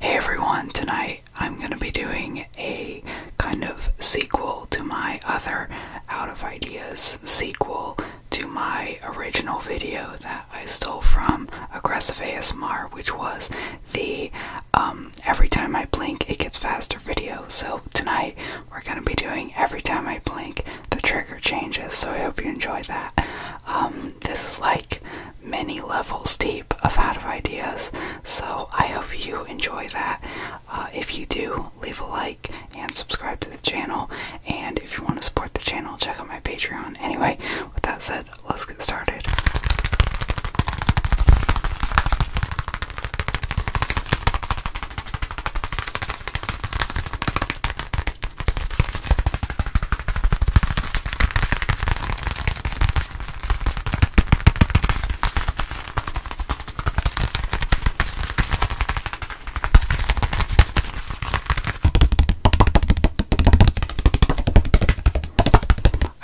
Hey everyone, tonight I'm going to be doing a kind of sequel to my other Out of Ideas sequel to my original video that I stole from Aggressive ASMR, which was the um, Every Time I Blink It Gets Faster video. So tonight we're going to be doing Every Time I Blink the trigger changes, so I hope you enjoy that. Um, this is like many levels deep of out of ideas, so I hope you enjoy that. Uh, if you do, leave a like and subscribe to the channel. And if you want to support the channel, check out my Patreon. Anyway, with that said, let's get started.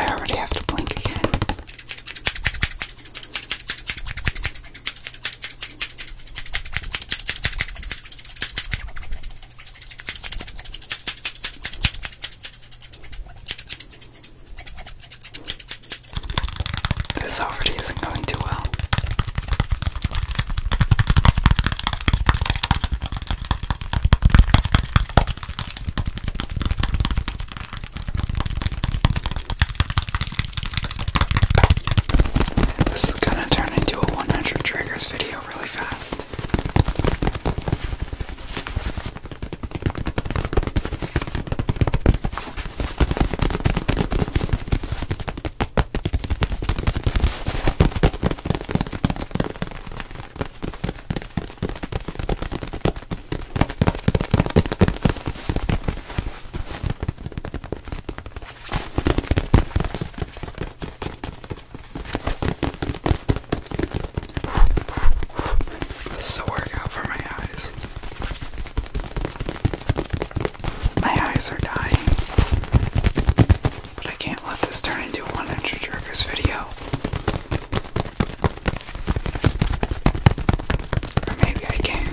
I already have to blink again. This already isn't going too well. This is gonna turn into a 100 triggers video go really fast. This is a workout for my eyes. My eyes are dying. But I can't let this turn into a 100 Jerkers video. Or maybe I can.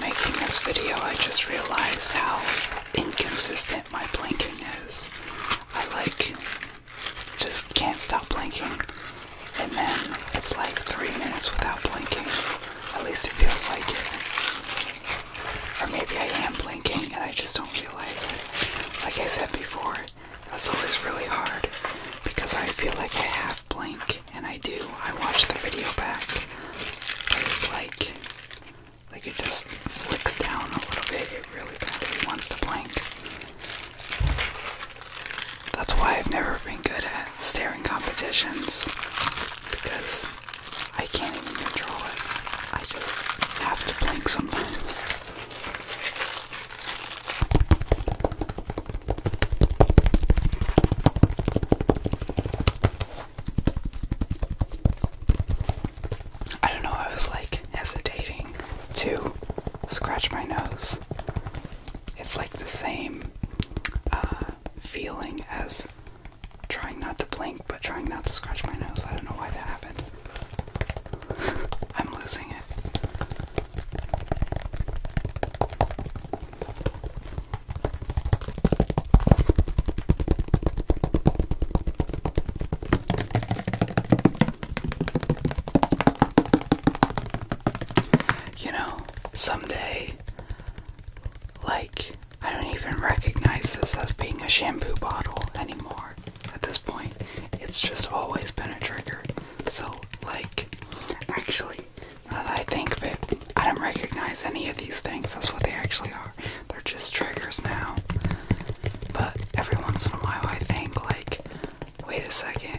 Making this video, I just realized how inconsistent my blinking is. I like just can't stop blinking. And then it's like three minutes without blinking. At least it feels like it. Or maybe I am blinking and I just don't realize it. Like I said before, that's always really hard because I feel like I half blink and I do. I watch the video back. But it's like like it just flicks down a little bit. It really badly wants to blink. That's why I've never been good at staring competitions because I can't even control it. I just have to blink sometimes. I don't know, I was like hesitating to scratch my nose. It's like the same uh, feeling as trying not to blink but trying not to scratch my nose. I don't know why that happened. I'm losing it. You know, someday, like, I don't even recognize this as being a shampoo bottle anymore at this point. It's just always been a trigger. So, like, actually, I think of it, I don't recognize any of these things. That's what they actually are. They're just triggers now. But every once in a while, I think, like, wait a second.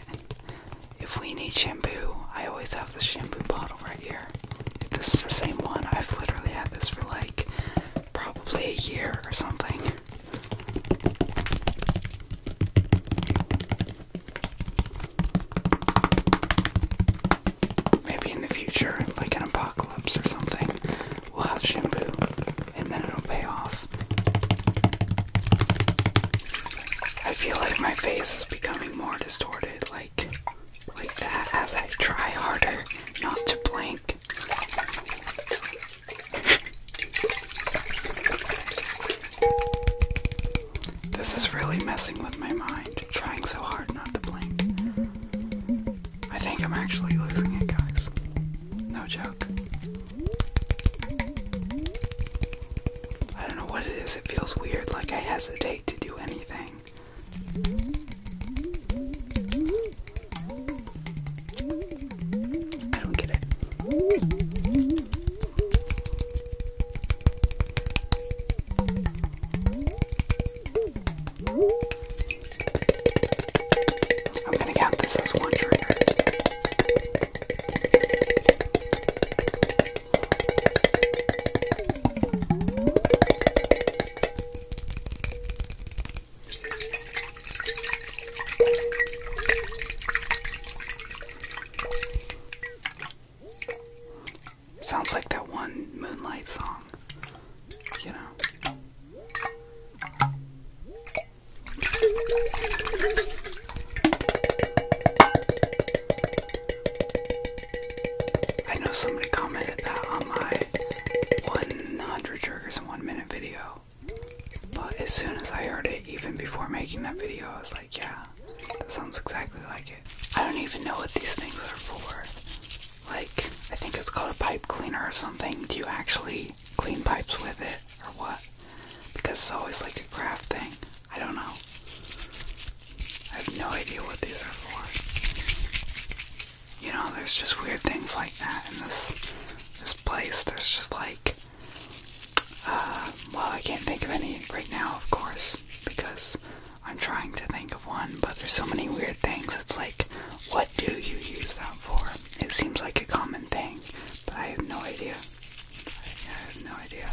If we need shampoo, I always have the shampoo bottle right here. This is the same one. I've literally had this for like probably a year or something. Maybe in the future, like an apocalypse or something, we'll have shampoo and then it'll pay off. I feel like my face is becoming more distorted, like like that as I try harder not to blink. This is really messing with my mind trying so hard not to blink. I think I'm actually losing it, guys. No joke. I don't know what it is, it feels weird, like I hesitate to do anything. I don't get it. I'm going to count this as one trigger. Sounds like that one Moonlight song, you know. I know somebody commented that on my 100 triggers in one minute video, but as soon as I heard it, even before making that video, I was yeah, that sounds exactly like it. I don't even know what these things are for. Like, I think it's called a pipe cleaner or something. Do you actually clean pipes with it or what? Because it's always like a craft thing. I don't know. I have no idea what these are for. You know, there's just weird things like that in this this place. There's just like uh, well, I can't think of any right now, of course, because I'm trying to think of one, but there's so many weird things. It's like, what do you use that for? It seems like a common thing, but I have no idea. I have no idea.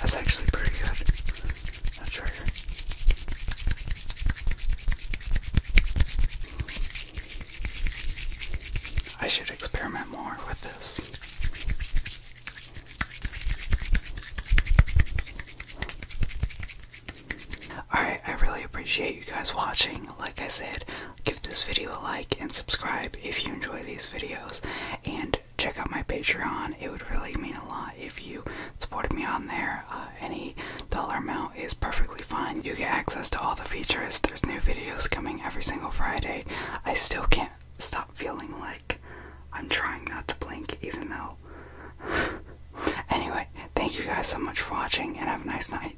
That's actually pretty good. That trigger. I should experiment more with this. Alright, I really appreciate you guys watching. Like I said, give this video a like and subscribe if you enjoy these videos. And check out my Patreon. It would really mean a lot if you supported me on there. Uh, any dollar amount is perfectly fine. You get access to all the features. There's new videos coming every single Friday. I still can't stop feeling like I'm trying not to blink even though anyway, thank you guys so much for watching and have a nice night.